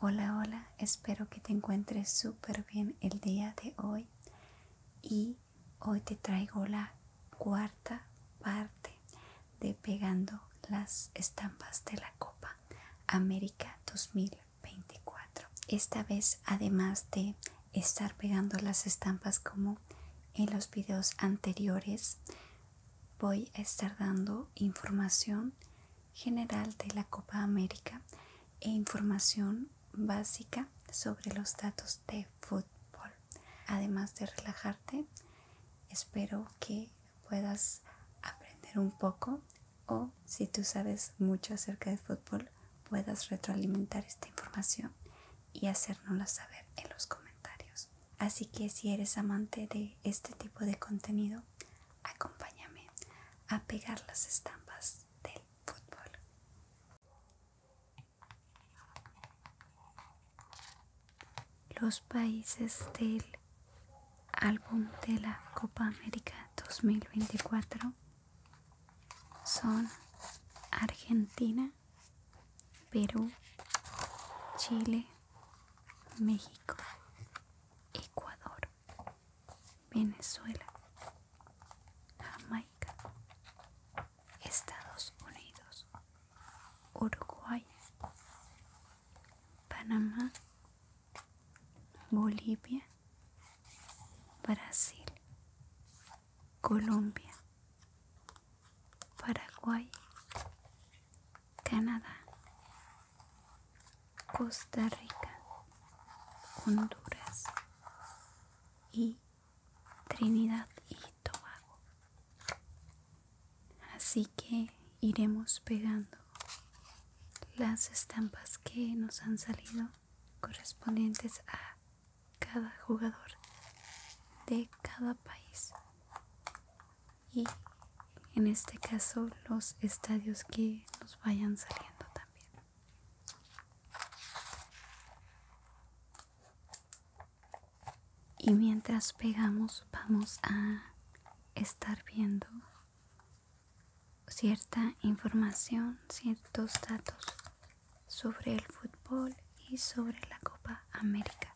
Hola, hola, espero que te encuentres súper bien el día de hoy y hoy te traigo la cuarta parte de Pegando las estampas de la Copa América 2024. Esta vez, además de estar pegando las estampas como en los videos anteriores, voy a estar dando información general de la Copa América e información básica sobre los datos de fútbol. Además de relajarte, espero que puedas aprender un poco o si tú sabes mucho acerca de fútbol, puedas retroalimentar esta información y hacérnosla saber en los comentarios. Así que si eres amante de este tipo de contenido, Acompáñame a pegar las estampas del fútbol. Los países del álbum de la Copa América 2024 son Argentina, Perú, Chile, México. Ecuador, Venezuela, Jamaica, Estados Unidos, Uruguay, Panamá, Bolivia, Brasil, Colombia, Paraguay, Canadá, Costa Rica, Honduras y Trinidad y Tobago. Así que iremos pegando las estampas que nos han salido correspondientes a cada jugador de cada país y en este caso los estadios que nos vayan saliendo también y mientras pegamos vamos a estar viendo cierta información ciertos datos sobre el fútbol y sobre la Copa América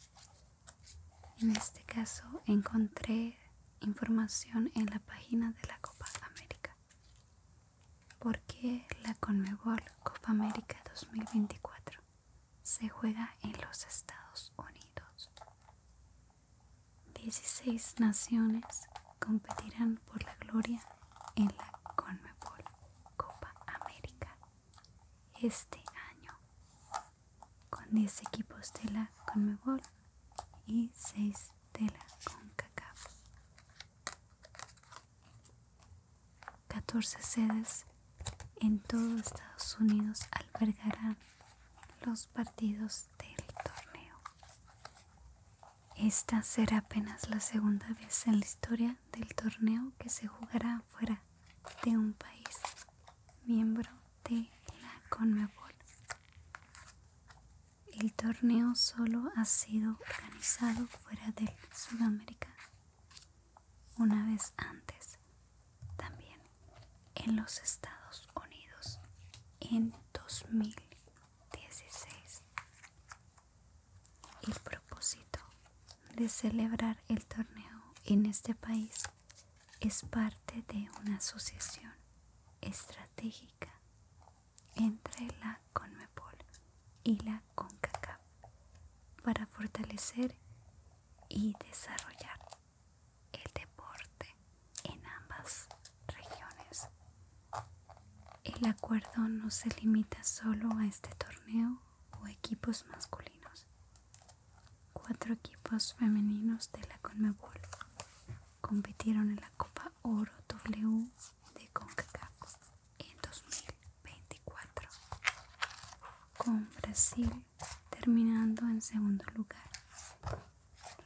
en este caso encontré información en la página de la Copa América. ¿Por qué la Conmebol Copa América 2024 se juega en los Estados Unidos? 16 naciones competirán por la gloria en la Conmebol Copa América este año con 10 equipos de la Conmebol y 6 la con cacao. 14 sedes en todo Estados Unidos albergarán los partidos del torneo. Esta será apenas la segunda vez en la historia del torneo que se jugará fuera de un país miembro de la CONMEBOL. El torneo solo ha sido organizado fuera de Sudamérica una vez antes, también en los Estados Unidos en 2016. El propósito de celebrar el torneo en este país es parte de una asociación estratégica entre la CONMEPOL y la CONCACAF para fortalecer y desarrollar el deporte en ambas regiones. El acuerdo no se limita solo a este torneo o equipos masculinos, Cuatro equipos femeninos de la CONMEBOL compitieron en la Copa Oro W de CONCACAF en 2024, con Brasil terminando en segundo lugar.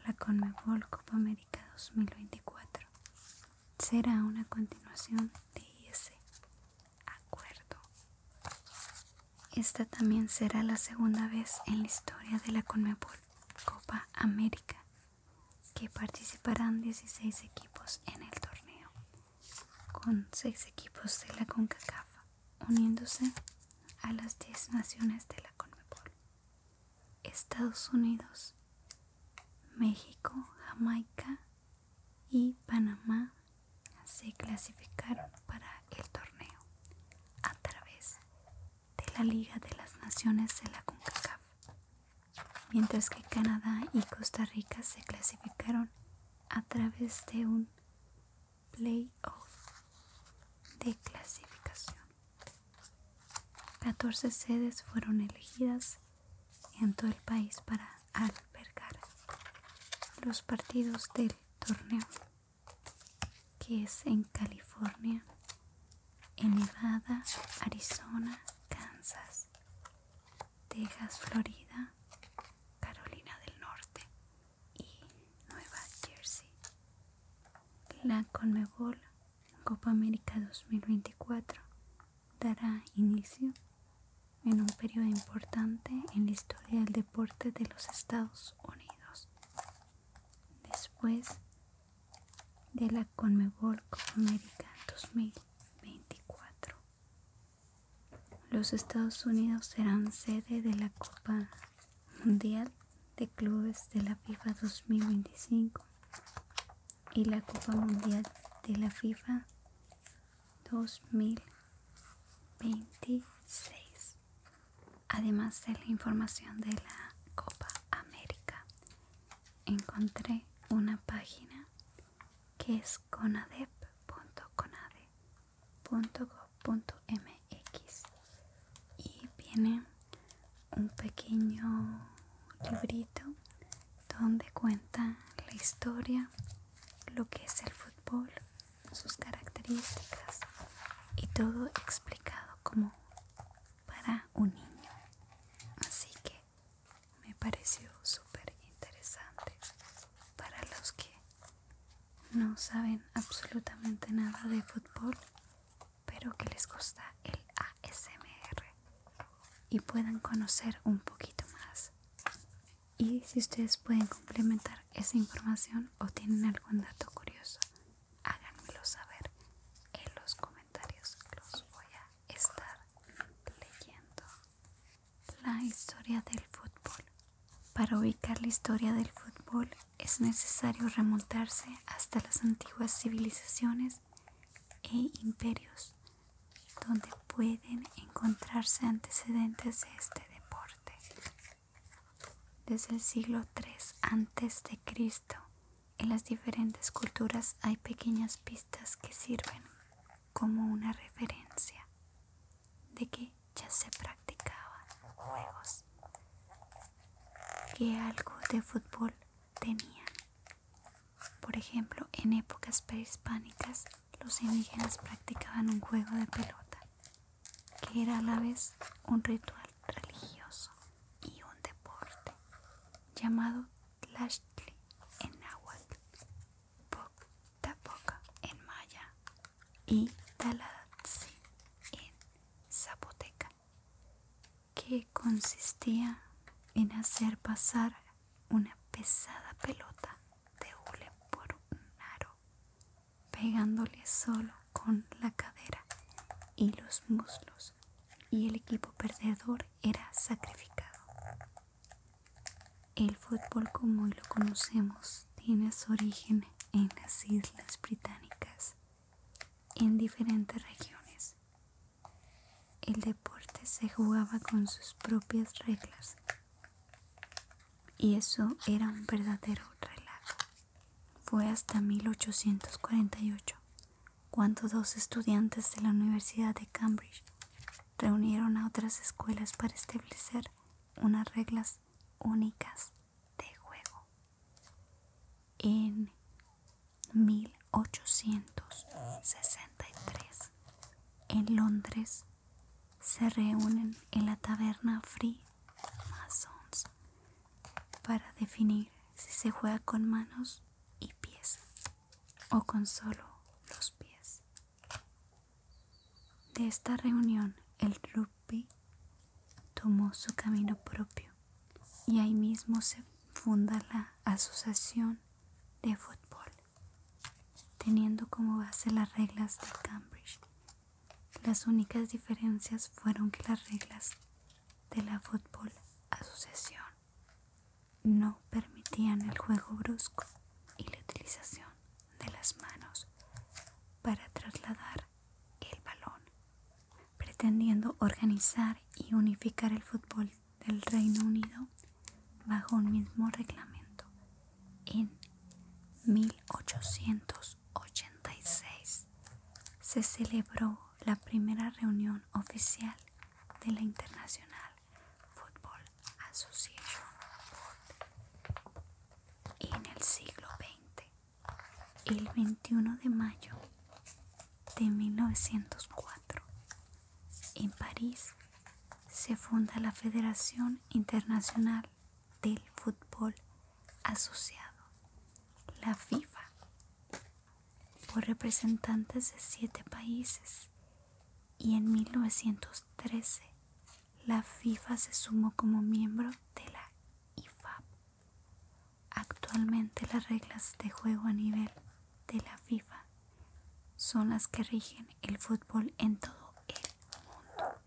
La CONMEBOL Copa América 2024 será una continuación de ese acuerdo. Esta también será la segunda vez en la historia de la Conmebol Copa América que participarán 16 equipos en el torneo, con 6 equipos de la CONCACAF uniéndose a las 10 naciones de la CONMEBOL. Estados Unidos, México, Jamaica y Panamá se clasificaron para el torneo a través de la Liga de las Naciones de la CONCACAF, mientras que Canadá y Costa Rica se clasificaron a través de un playoff de clasificación. 14 sedes fueron elegidas en todo el país para albergar los partidos del torneo que es en California, Nevada, Arizona, Kansas, Texas, Florida, Carolina del Norte y Nueva Jersey. La Conmebol Copa América 2024 dará inicio en un periodo importante en la historia del deporte de los Estados Unidos después de la Conmebol Copa América 2024. Los Estados Unidos serán sede de la Copa Mundial de Clubes de la FIFA 2025 y la Copa Mundial de la FIFA 2026 además de la información de la Copa América, encontré una página que es conadep.conade.gov.mx y viene un pequeño librito donde cuenta la historia, lo que es el fútbol sus características y todo explicado como para un niño. Así que me pareció súper interesante para los que no saben absolutamente nada de fútbol, pero que les gusta el ASMR y puedan conocer un poquito más. Y si ustedes pueden complementar esa información o tienen algún dato curioso, háganmelo saber en los comentarios. Los voy a estar leyendo. La historia del fútbol. Para ubicar la historia del fútbol es necesario remontarse hasta las antiguas civilizaciones e imperios, donde pueden encontrarse antecedentes de este deporte desde el siglo III a.C. En las diferentes culturas hay pequeñas pistas que sirven como una referencia de que ya se practicaban juegos, que algo de fútbol tenían. Por ejemplo, en épocas prehispánicas los indígenas practicaban un juego de pelota que era a la vez un ritual religioso y un deporte llamado Tlachtli en náhuatl, Tapoca en maya y Talatzi en zapoteca, que consistía en hacer pasar una pesada pelota de hule por un aro pegándole solo con la cadera y los muslos y el equipo perdedor era sacrificado. El fútbol como hoy lo conocemos tiene su origen en las Islas Británicas, en diferentes regiones. El deporte se jugaba con sus propias reglas y eso era un verdadero relato Fue hasta 1848 cuando dos estudiantes de la Universidad de Cambridge reunieron a otras escuelas para establecer unas reglas únicas de juego. En 1863, en Londres, se reúnen en la taberna Free para definir si se juega con manos y pies o con solo los pies. De esta reunión el rugby tomó su camino propio y ahí mismo se funda la Asociación de Fútbol, teniendo como base las reglas de Cambridge las únicas diferencias fueron que las reglas de la Fútbol Asociación no permitían el juego brusco y la utilización de las manos para trasladar el balón, pretendiendo organizar y unificar el fútbol del Reino Unido bajo un mismo reglamento en 1886 se celebró la primera reunión oficial de la International Football Association en el siglo XX. El 21 de mayo de 1904 en París se funda la Federación Internacional del fútbol asociado, la FIFA, por representantes de siete países y en 1913 la FIFA se sumó como miembro de la IFAB. Actualmente las reglas de juego a nivel de la FIFA son las que rigen el fútbol en todo el mundo.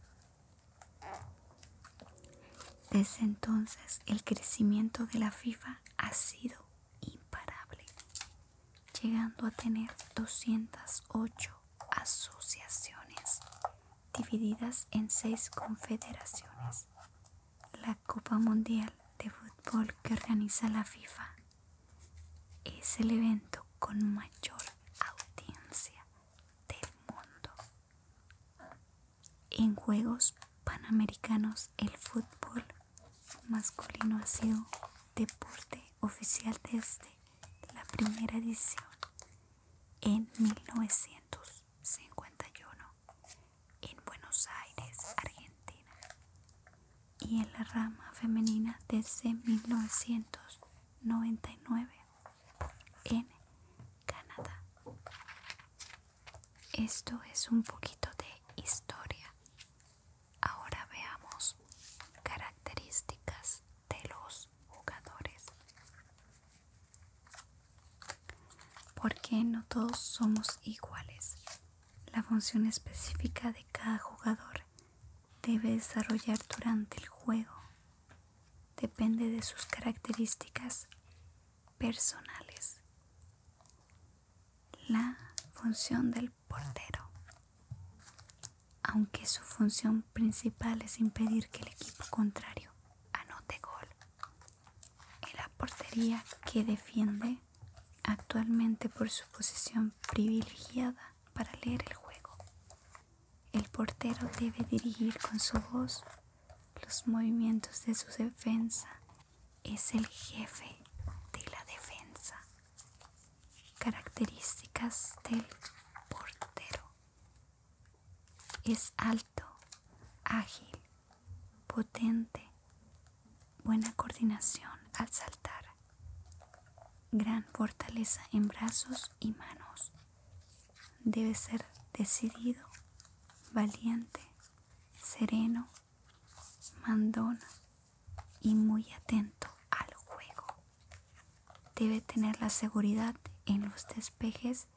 Desde entonces el crecimiento de la FIFA ha sido imparable, llegando a tener 208 asociaciones divididas en seis confederaciones. La Copa Mundial de Fútbol que organiza la FIFA es el evento con mayor audiencia del mundo. En Juegos Panamericanos el fútbol masculino ha sido deporte oficial desde la primera edición en 1951 en Buenos Aires, Argentina, y en la rama femenina desde 1999 en Canadá. Esto es un poquito de historia. Ahora veamos características de los jugadores. Porque no todos somos iguales. La función específica de cada jugador debe desarrollar durante el juego depende de sus características personales. La función del portero. Aunque su función principal es impedir que el equipo contrario anote gol, es la portería que defiende actualmente por su posición privilegiada para leer el juego, el portero debe dirigir con su voz los movimientos de su defensa. Es el jefe de la defensa. Características del portero. Es alto, ágil, potente, buena coordinación al saltar, gran fortaleza en brazos y manos. Debe ser decidido, valiente, sereno, mandona y muy atento al juego. Debe tener la seguridad en los despejes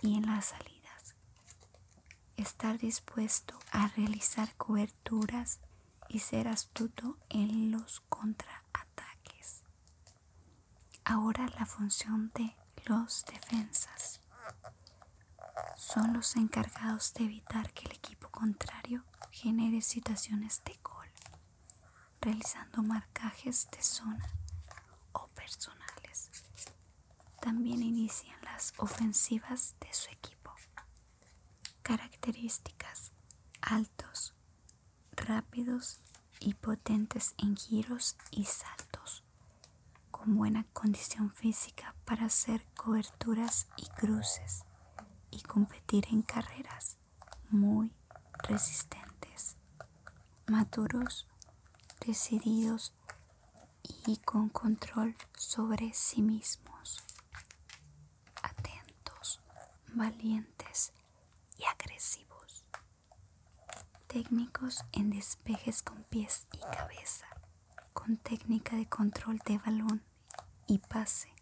y en las salidas. Estar dispuesto a realizar coberturas y ser astuto en los contraataques. Ahora la función de los defensas son los encargados de evitar que el equipo contrario genere situaciones de gol, realizando marcajes de zona o personales. También inician las ofensivas de su equipo. Características altos, rápidos y potentes en giros y saltos, con buena condición física para hacer coberturas y cruces y competir en carreras muy resistentes, maduros, decididos y con control sobre sí mismos atentos, valientes y agresivos. Técnicos en despejes con pies y cabeza, con técnica de control de balón y pase.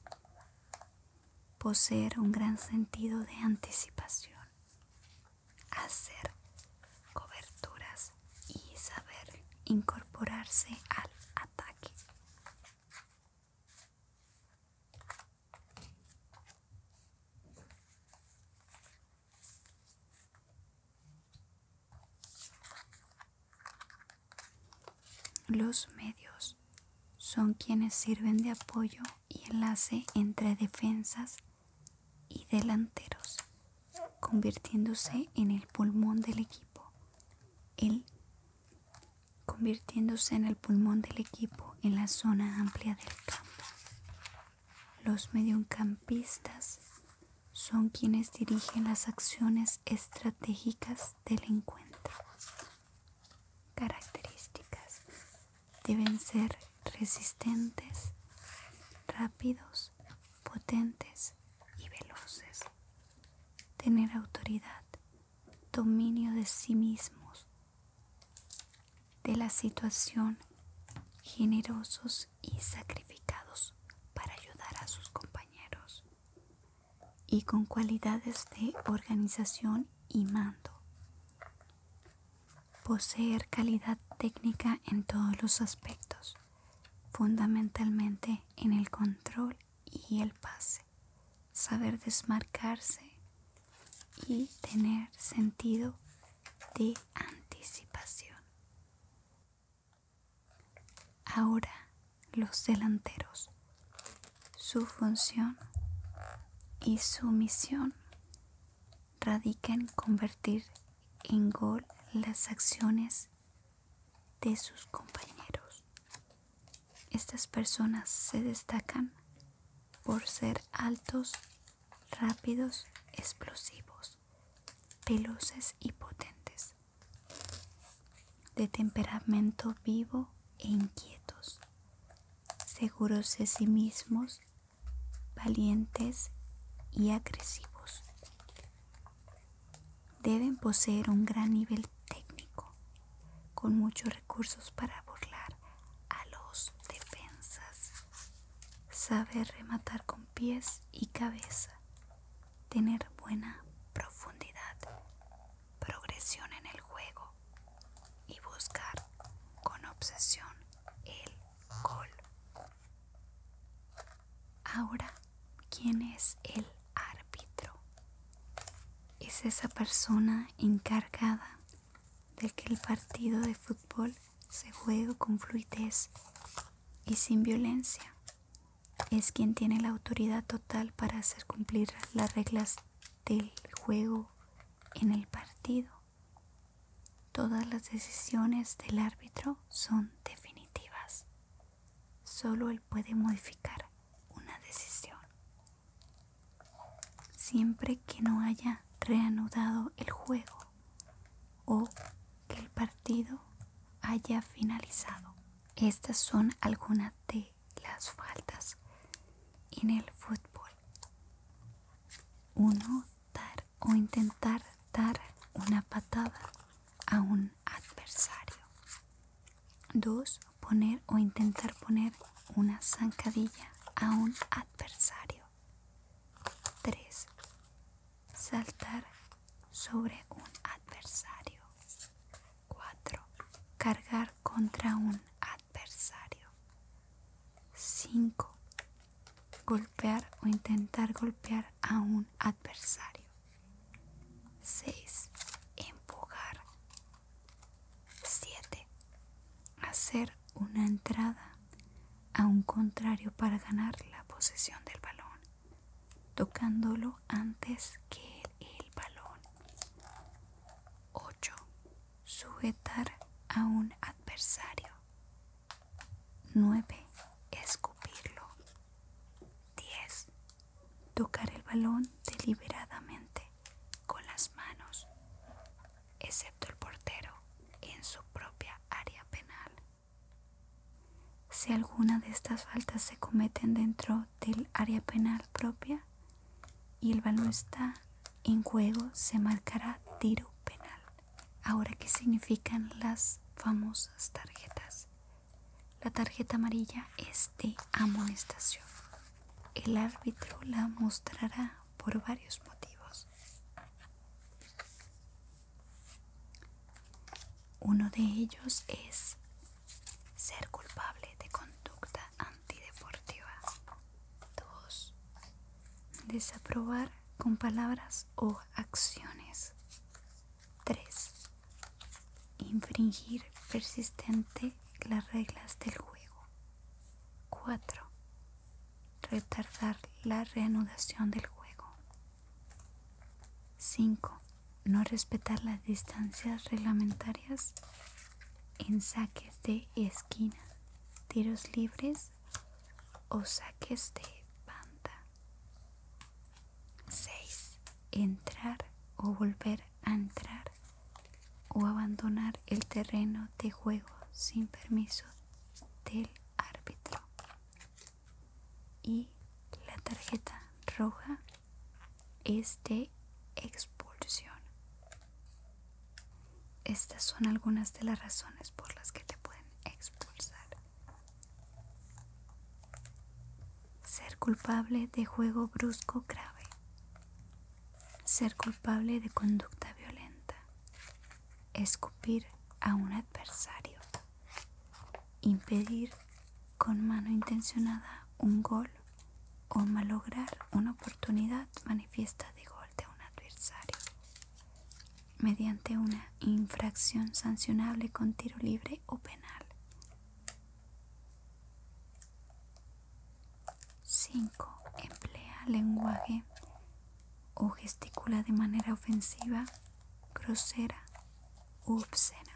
Poseer un gran sentido de anticipación. Hacer coberturas y saber incorporarse al ataque. Los medios son quienes sirven de apoyo y enlace entre defensas y delanteros, convirtiéndose en el pulmón del equipo, el convirtiéndose en el pulmón del equipo en la zona amplia del campo. Los mediocampistas son quienes dirigen las acciones estratégicas del encuentro. Características. Deben ser resistentes, rápidos, potentes y veloces. Tener autoridad, dominio de sí mismos, de la situación, generosos y sacrificados para ayudar a sus compañeros y con cualidades de organización y mando. Poseer calidad técnica en todos los aspectos, fundamentalmente en el control y el pase saber desmarcarse y tener sentido de anticipación. Ahora los delanteros, su función y su misión radica en convertir en gol las acciones de sus compañeros. Estas personas se destacan por ser altos, rápidos, explosivos, veloces y potentes, de temperamento vivo e inquietos, seguros de sí mismos, valientes y agresivos. Deben poseer un gran nivel técnico con muchos recursos para burlar a los defensas, saber rematar con pies y cabeza, tener buena profundidad, progresión en el juego y buscar con obsesión el gol. Ahora, ¿quién es el árbitro? es esa persona encargada de que el partido de fútbol se juegue con fluidez y sin violencia. Es quien tiene la autoridad total para hacer cumplir las reglas del juego en el partido. Todas las decisiones del árbitro son definitivas. Solo él puede modificar una decisión siempre que no haya reanudado el juego o que el partido haya finalizado. Estas son algunas de las faltas en el fútbol. uno Dar o intentar dar una patada a un adversario. 2. Poner o intentar poner una zancadilla a un adversario. 3. Saltar sobre un adversario. 4. Cargar contra un adversario. 5. Golpear o intentar golpear a un adversario. 6. Empujar 7. Hacer una entrada a un contrario para ganar la posesión del balón, tocándolo antes que el balón. 8. Sujetar a un adversario. 9. Escupirlo. 10. Tocar el balón deliberadamente con las manos, excepto el portero, en su propia área penal. Si alguna de estas faltas se cometen dentro del área penal propia y el balón está en juego, se marcará tiro penal. Ahora, ¿qué significan las famosas tarjetas? La tarjeta amarilla es de amonestación el árbitro la mostrará por varios motivos. Uno de ellos es ser culpable de conducta antideportiva. Dos, Desaprobar con palabras o acciones. Tres infringir persistente las reglas del juego. 4. Retardar la reanudación del juego. 5. No respetar las distancias reglamentarias en saques de esquina, tiros libres o saques de banda. 6. Entrar o volver entrar o abandonar el terreno de juego sin permiso del árbitro. Y la tarjeta roja es de expulsión. Estas son algunas de las razones por las que te pueden expulsar. Ser culpable de juego brusco grave. Ser culpable de conducta violenta. Escupir a un adversario. Impedir con mano intencionada un gol o malograr una oportunidad manifiesta de gol de un adversario mediante una infracción sancionable con tiro libre o penal. 5. Emplea lenguaje o gesticula de manera ofensiva, grosera u obscena.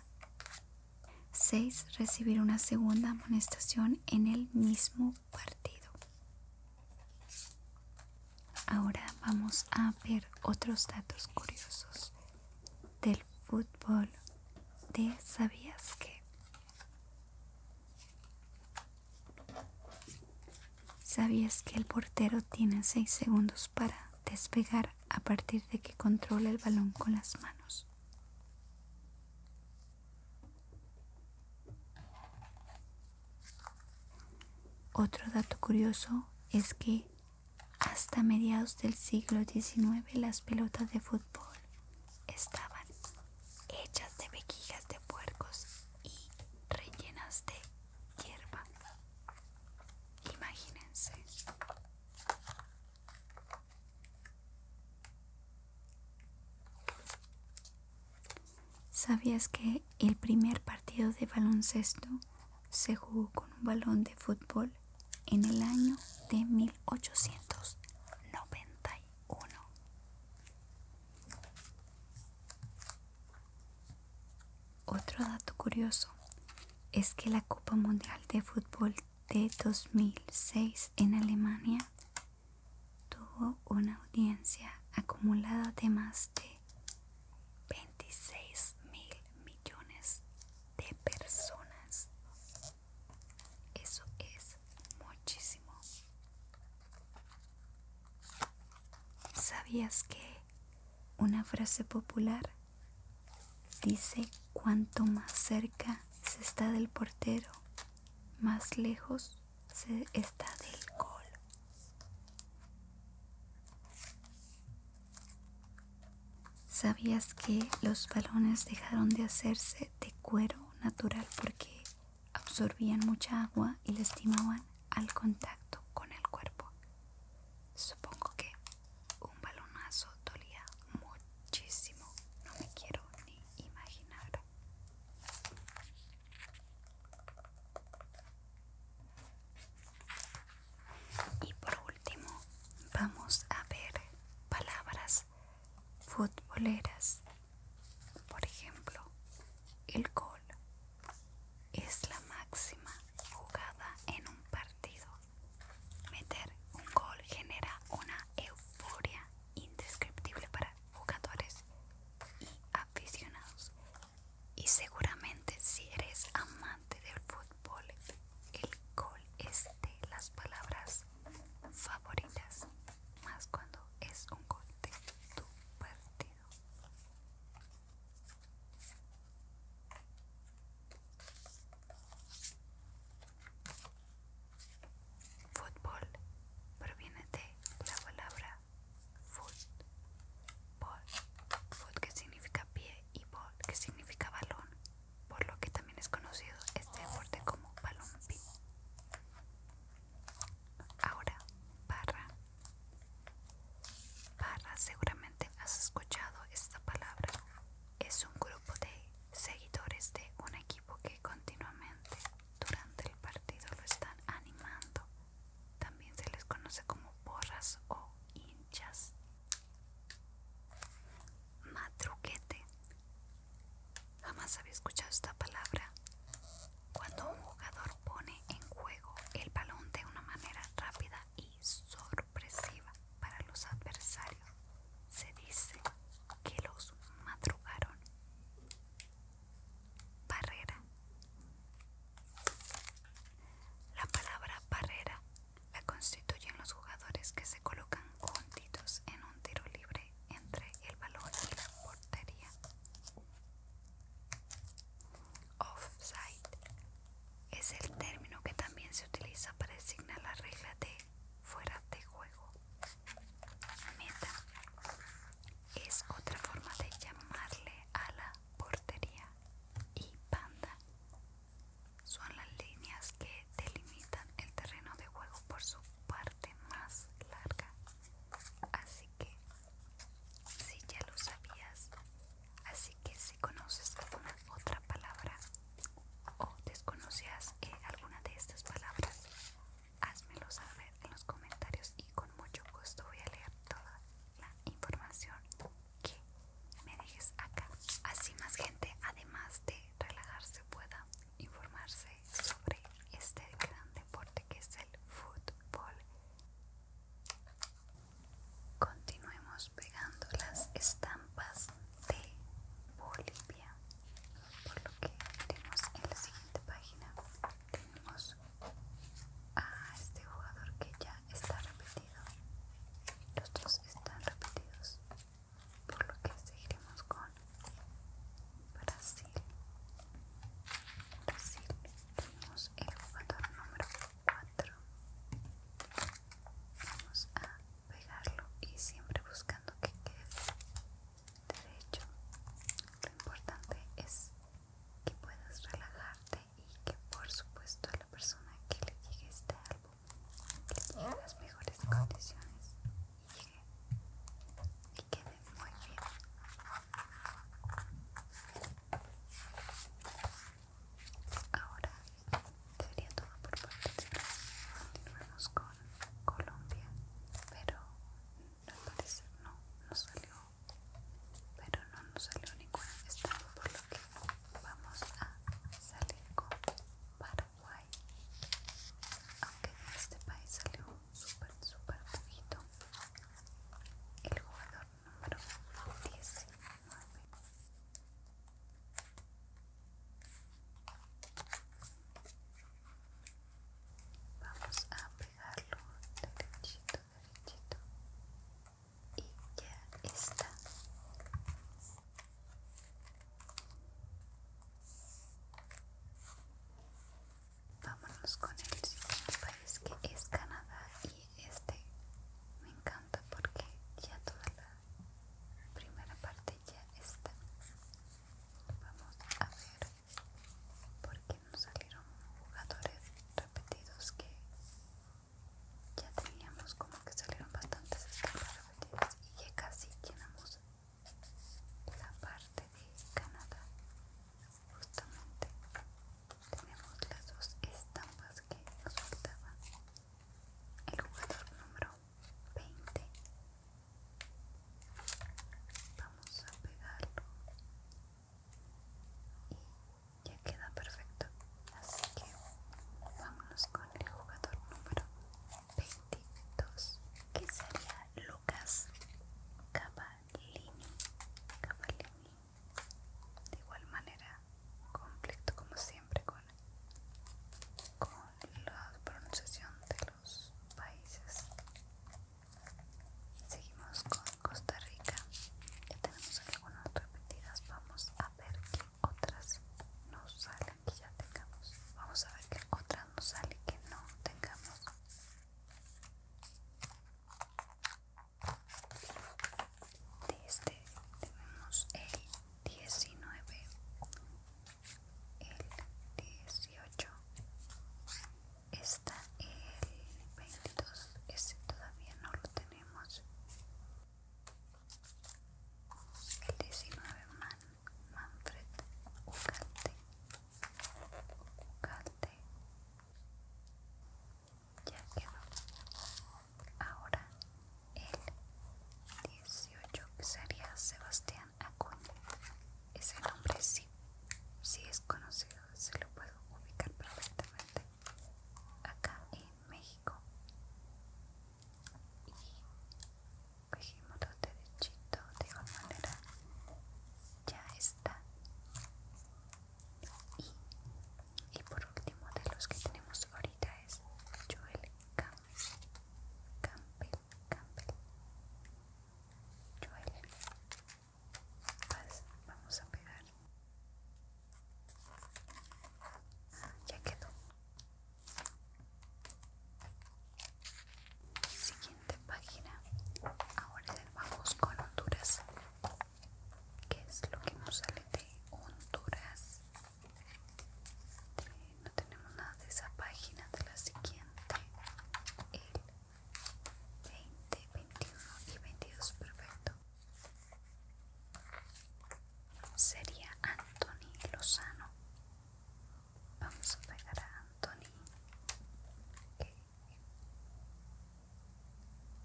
6. Recibir una segunda amonestación en el mismo partido. Ahora vamos a ver otros datos curiosos de fútbol de Sabías que. ¿Sabías que el portero tiene 6 segundos para despegar a partir de que controla el balón con las manos? Otro dato curioso es que hasta mediados del siglo XIX las pelotas de fútbol estaban hechas de mejillas de puercos y rellenas de hierba. Imagínense. ¿Sabías que el primer partido de baloncesto se jugó con un balón de fútbol? en el año de 1891. Otro dato curioso es que la Copa Mundial de Fútbol de 2006 en Alemania tuvo una audiencia acumulada de más de 26 mil millones de personas. Eso es muchísimo. ¿Sabías que una frase popular dice cuanto más cerca se está del portero, más lejos se está del gol? ¿Sabías que los balones dejaron de hacerse de cuero natural porque absorbían mucha agua y lastimaban al contacto con el cuerpo? Supongo que un balonazo dolía muchísimo, no me quiero ni imaginar. Y por último vamos a ver palabras futboleras. Por ejemplo, el gol es la máxima jugada en un partido. Meter un gol genera una euforia indescriptible para jugadores y aficionados. Y seguramente si eres amante del fútbol, el gol es de las palabras favoritas, más cuando es un gol de tu partido. Fútbol proviene de la palabra foot, bol, foot que significa pie y ball que significa balón por lo que también es conocido este deporte como Palumpi. Ahora, barra. Barra, seguramente has escuchado esta palabra. Es un grupo de seguidores de un equipo que continuamente durante el partido lo están animando. También se les conoce como porras o hinchas. Matruquete. Jamás había escuchado esta palabra. Cuando un jugador pone en juego el balón de una manera rápida y sorpresiva para los adversarios, se dice que los madrugaron. Barrera. La palabra barrera la constituyen los jugadores que se colocan juntitos en un tiro libre entre el balón y la portería. Offside es el término que también se utiliza para designar la regla de fuera de juego. Meta es otra forma de llamarle a la portería y Panda son las líneas que delimitan el terreno de juego por su parte más larga. Así que, si ya lo sabías, así que si conoces alguna otra palabra o desconocías eh, alguna de estas palabras, házmelo saber en los comentarios y con mucho gusto voy a leer toda la información que me dejes acá. Así más gente, además de relajarse, pueda informarse sobre este gran deporte que es el fútbol. Continuemos pegando las estampas de Bolivia, por lo que tenemos en la siguiente página. Tenemos a este jugador que ya está repetido. Los dos están repetidos por lo que seguiremos con Brasil. Brasil tenemos el jugador número 4. Vamos a pegarlo y siempre buscando que quede derecho. Lo importante es que puedas relajarte y que por supuesto a la persona que le llegue este álbum que las mejores condiciones y que quede muy bien. Ahora sería todo por nosotros Continuamos con Colombia, pero al parecer no nos salió, pero no nos salió ninguna estado por lo que vamos a salir con Paraguay aunque de este país salió súper súper poquito el jugador número 19 vamos a pegarlo derechito derechito y ya está Vámonos con el siguiente país que es Canadá y este me encanta porque ya toda la primera parte ya está. Vamos a ver por qué nos salieron jugadores repetidos que ya teníamos como que salieron bastantes estampas repetidas y ya casi llenamos la parte de Canadá justamente tenemos las dos estampas que nos faltaban el jugador número 20 vamos a pegarlo y ya queda perfecto Así que vámonos con el jugador número 22, que sería Lucas Cavallini. Cavallini. De igual manera, conflicto como siempre con, con la pronunciación de los países. Seguimos con Costa Rica. Ya tenemos algunas repetidas. Vamos a ver otras nos salen que ya tengamos. Vamos a ver que otras nos salen que no tengamos. este tenemos el 19, el 18, está el 22, este todavía no lo tenemos. El 19 Manfred Ugalte. Ugarte Ya quedó. Ahora el 18 sería Sebastián Acuña. Ese nombre sí, sí es conocido, se lo puedo ubicar perfectamente acá en México y cogimos los derechitos de igual manera ya está y, y por último de los que tenemos ahorita es Joel Campbell Campe Campbell Joel pues vamos a pegar ya quedó. Siguiente página. Ahora vamos con Honduras. ¿Qué es lo que nos sale de Honduras? No tenemos nada de esa página de la siguiente. El 20, 21 y 22. Perfecto sería Anthony Lozano. Vamos a pegar a Anthony.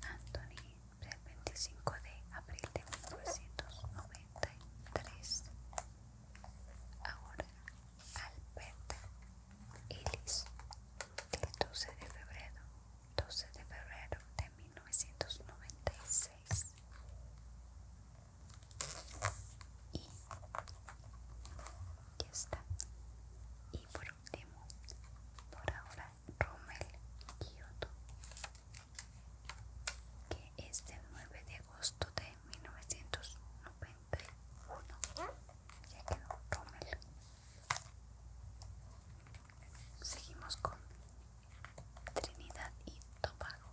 Anthony del 25 de abril de 1993. Ahora Albert Ellis del 12 de febrero. 12 de febrero de 1996 y está y por último por ahora Rommel Kyoto que es del 9 de agosto de 1991 ya quedó Rommel seguimos con Trinidad y Tobago.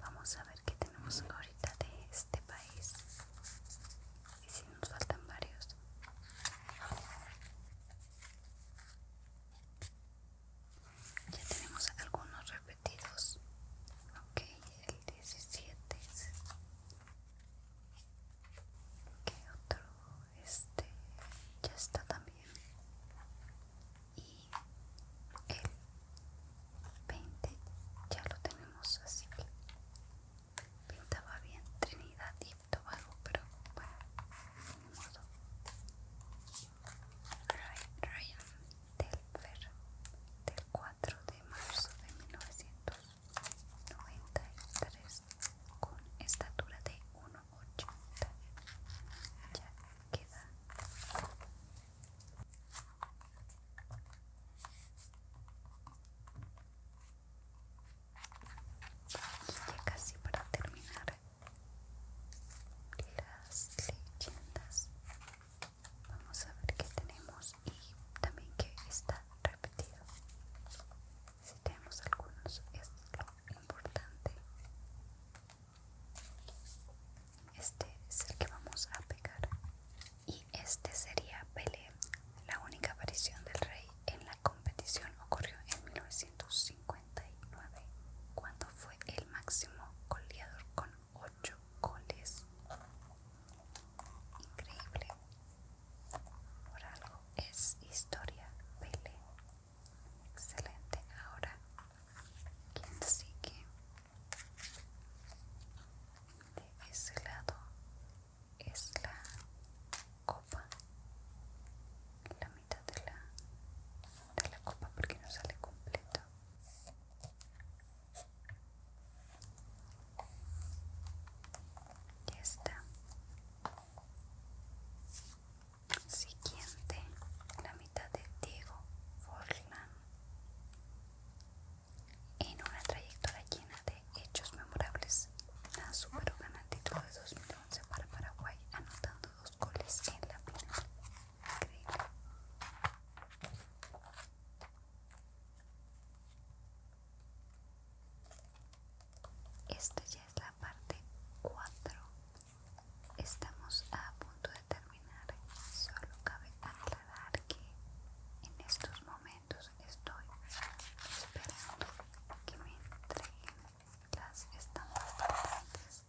Vamos a ver qué tenemos ahorita de este país. Y si nos faltan varios. Ya tenemos algunos repetidos. Ok, el 17. ¿Qué otro? Este ya está también y el 20 ya lo tenemos así que pintaba bien Trinidad y Tobago pero bueno de modo Ryan Delver, del 4 de marzo de 1993 con estatura de 1 ya queda ya casi para terminar las leyendas vamos a ver qué tenemos y también qué está repetido si tenemos algunos es lo importante este es el que vamos a pegar. Y este sería Pelé. La única aparición del rey en la competición ocurrió en 1959, cuando fue el máximo goleador con 8 goles. Increíble. Por algo es historia Pelé. Excelente, ahora quien sigue de ese lado es la copa, la mitad de la, de la copa porque no sale completo. Ya está siguiente la mitad de Diego Forlán en una trayectoria llena de hechos memorables. La Super ganó el título de 2011 para Paraguay anotando dos goles en la final. Increíble. Esta ya es la parte 4 Estamos a punto de terminar. Solo cabe aclarar que en estos momentos estoy esperando que me entreguen las estampas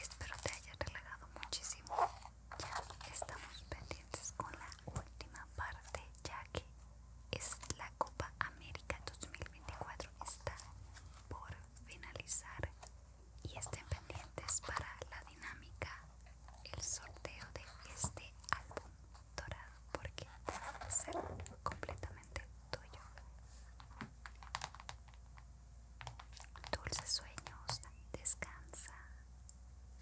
Espero te haya relegado muchísimo. Ya estamos pendientes con la última parte ya que es la Copa América 2024 está por finalizar y estén pendientes para la dinámica el sorteo de este álbum dorado porque a ser completamente tuyo dulces sueños descansa